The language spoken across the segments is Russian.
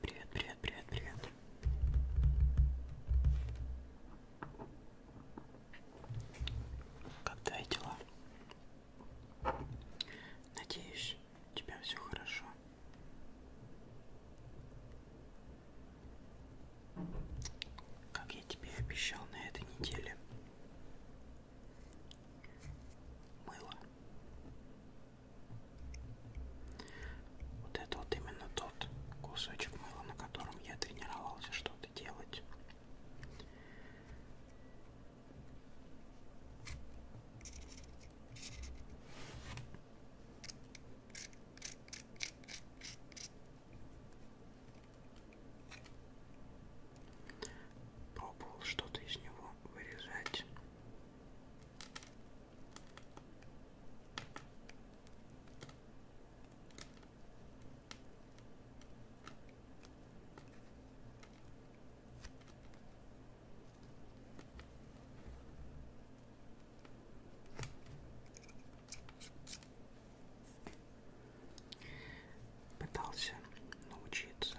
Привет, привет, привет, привет. Как твои дела? Надеюсь, у тебя все хорошо. Как я тебе обещал на этой неделе. Мыло. Вот это вот именно тот кусочек мыла, на котором я тренировался что-то делать. Пробовал что-то из него вырезать. Пытался научиться.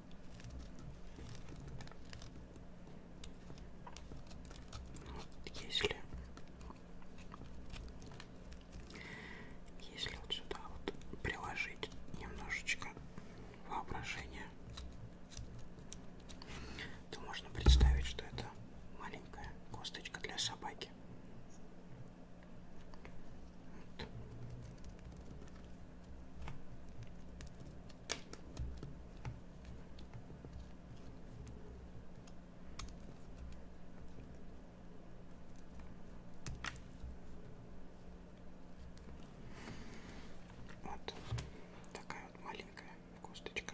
Если если вот сюда вот приложить немножечко воображения, то можно представить, что это маленькая косточка для собаки. Вот. Вот такая вот маленькая косточка.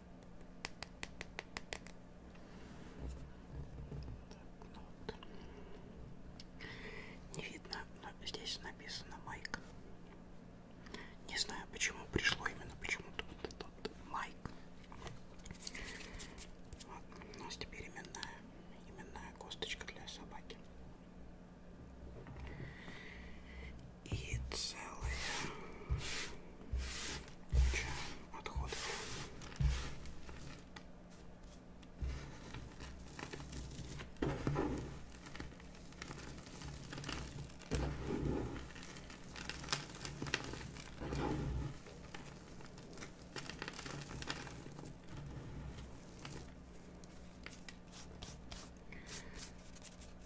Так, ну вот. Не видно, но здесь написано Майк. Не знаю, почему пришло именно почему-то вот этот Майк. Вот. У нас теперь именная, именная косточка для собаки. И целая куча отходов.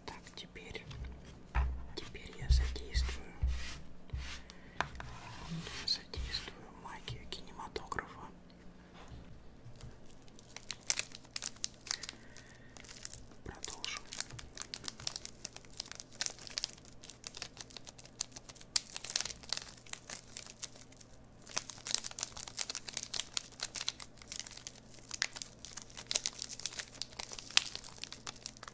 Так, теперь, теперь я задействую задействую магию кинематографа. Продолжим.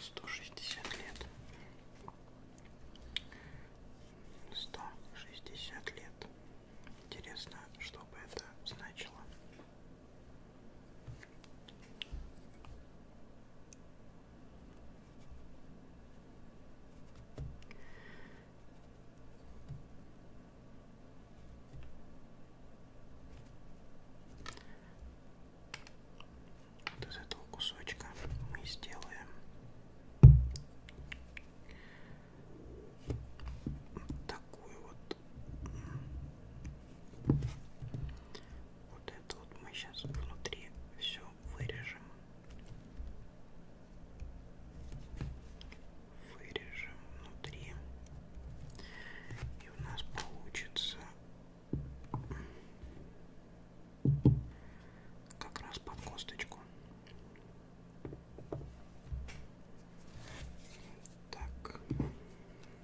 Сто шестьдесят лет. Сто шестьдесят лет. Интересно, что бы это значило. Вот из этого кусочка мы сделаем такую вот вот это вот мы сейчас внутри все вырежем. Вырежем внутри. И у нас получится как раз под косточку. Так.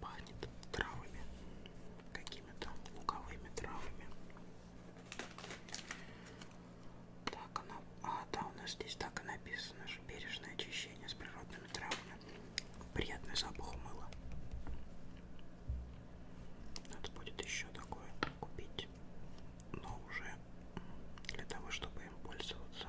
Пахнет травами, какими-то луковыми травами. Так, она... А, да, у нас здесь так и написано же. Бережное очищение с природными травами. Приятный запах мыла. Надо будет еще такое купить. Но уже для того, чтобы им пользоваться.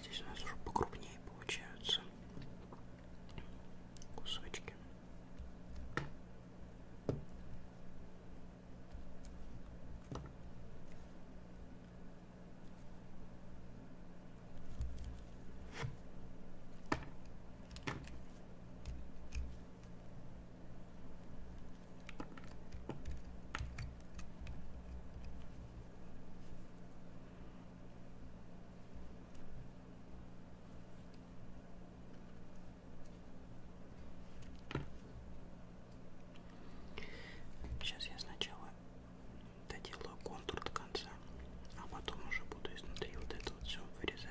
Здесь у нас уже покрупнее получаются кусочки. Сейчас я сначала доделаю контур до конца, а потом уже буду изнутри вот это вот все вырезать.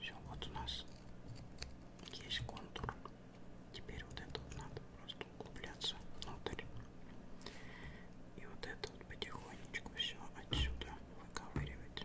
Все, вот у нас есть контур. Теперь вот это вот надо просто углубляться внутрь. И вот это тут потихонечку все отсюда выковыривать.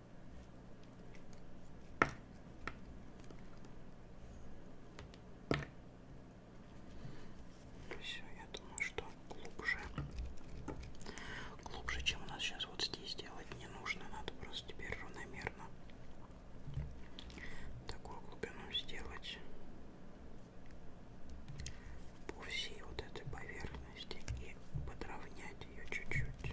Все, я думаю, что глубже, глубже, чем у нас сейчас вот здесь делать не нужно. Надо просто теперь равномерно такую глубину сделать по всей вот этой поверхности и подровнять ее чуть-чуть.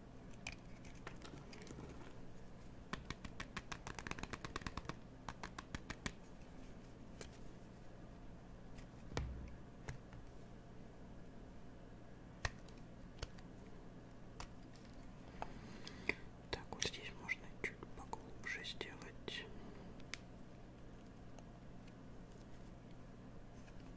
Так, вот здесь можно чуть поглубже сделать.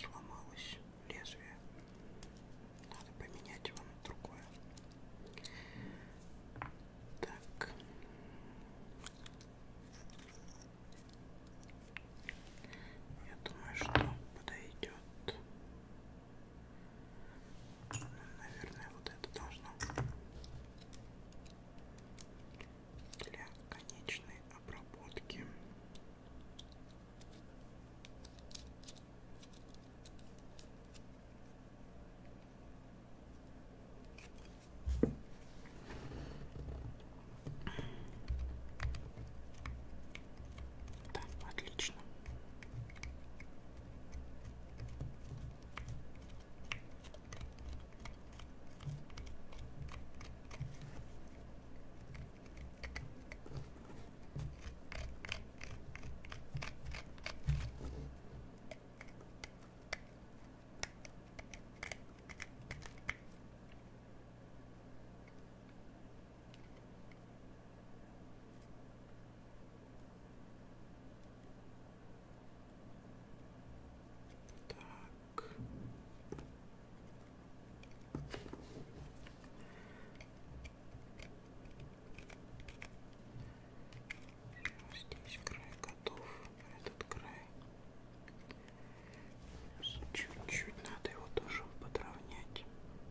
Сломалось лезвие. Надо поменять его на другое. Так. Я думаю, что подойдет. Наверное, вот это должно. Для конечной обработки. Да, отлично. Так. Здесь край готов, этот край. Чуть-чуть надо его тоже подровнять.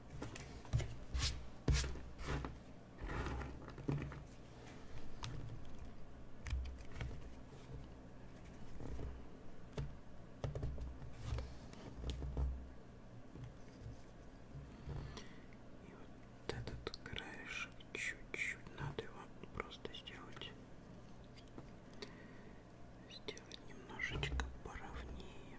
И вот этот краешек чуть-чуть надо его просто сделать сделать немножечко поровнее.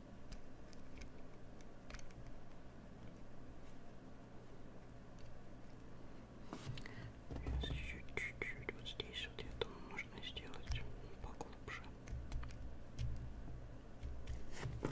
Сейчас еще чуть-чуть вот здесь вот я думаю можно сделать поглубже. Ой.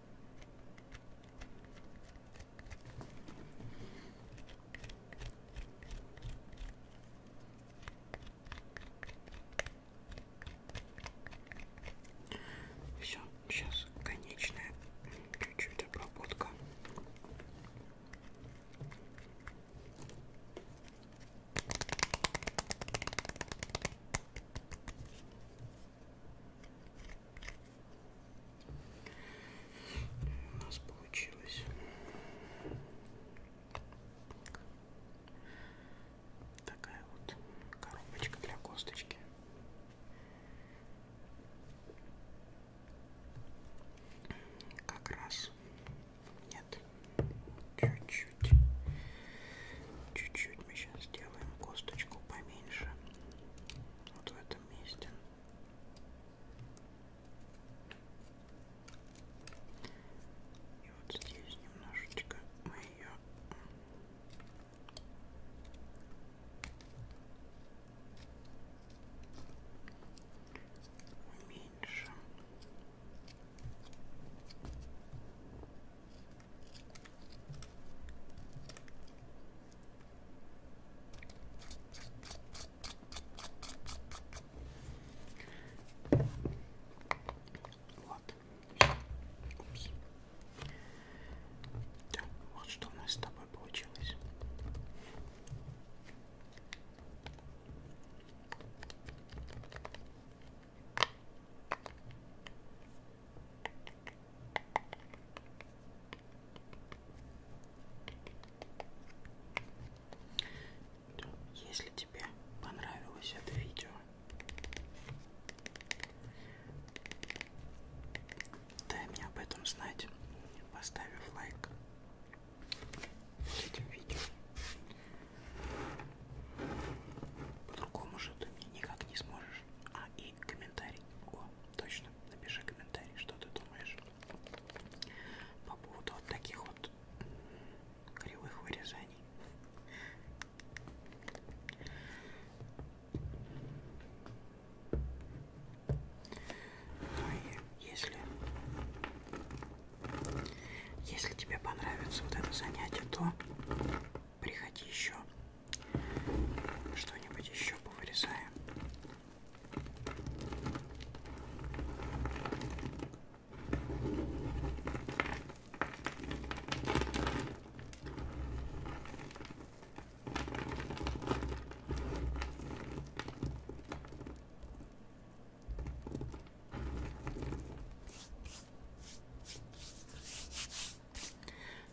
Все, сейчас конечная чуть-чуть обработка. У нас получилось такая вот коробочка для косточки. Как раз нет. Чуть-чуть. Чуть-чуть мы сейчас сделаем косточку поменьше вот в этом месте. И вот здесь немножечко мы ее уменьшим. И вот. Упс. Так, вот что у нас с тобой получилось. Если тебе понравилось это видео, дай мне об этом знать, поставив лайк этим видео. По-другому же ты мне никак не сможешь. А и и комментарий. О, точно, напиши комментарий, что ты думаешь по поводу вот таких вот кривых вырезаний. Ну и если, если тебе понравится вот это занятие, то приходи еще что-нибудь еще повырезаем.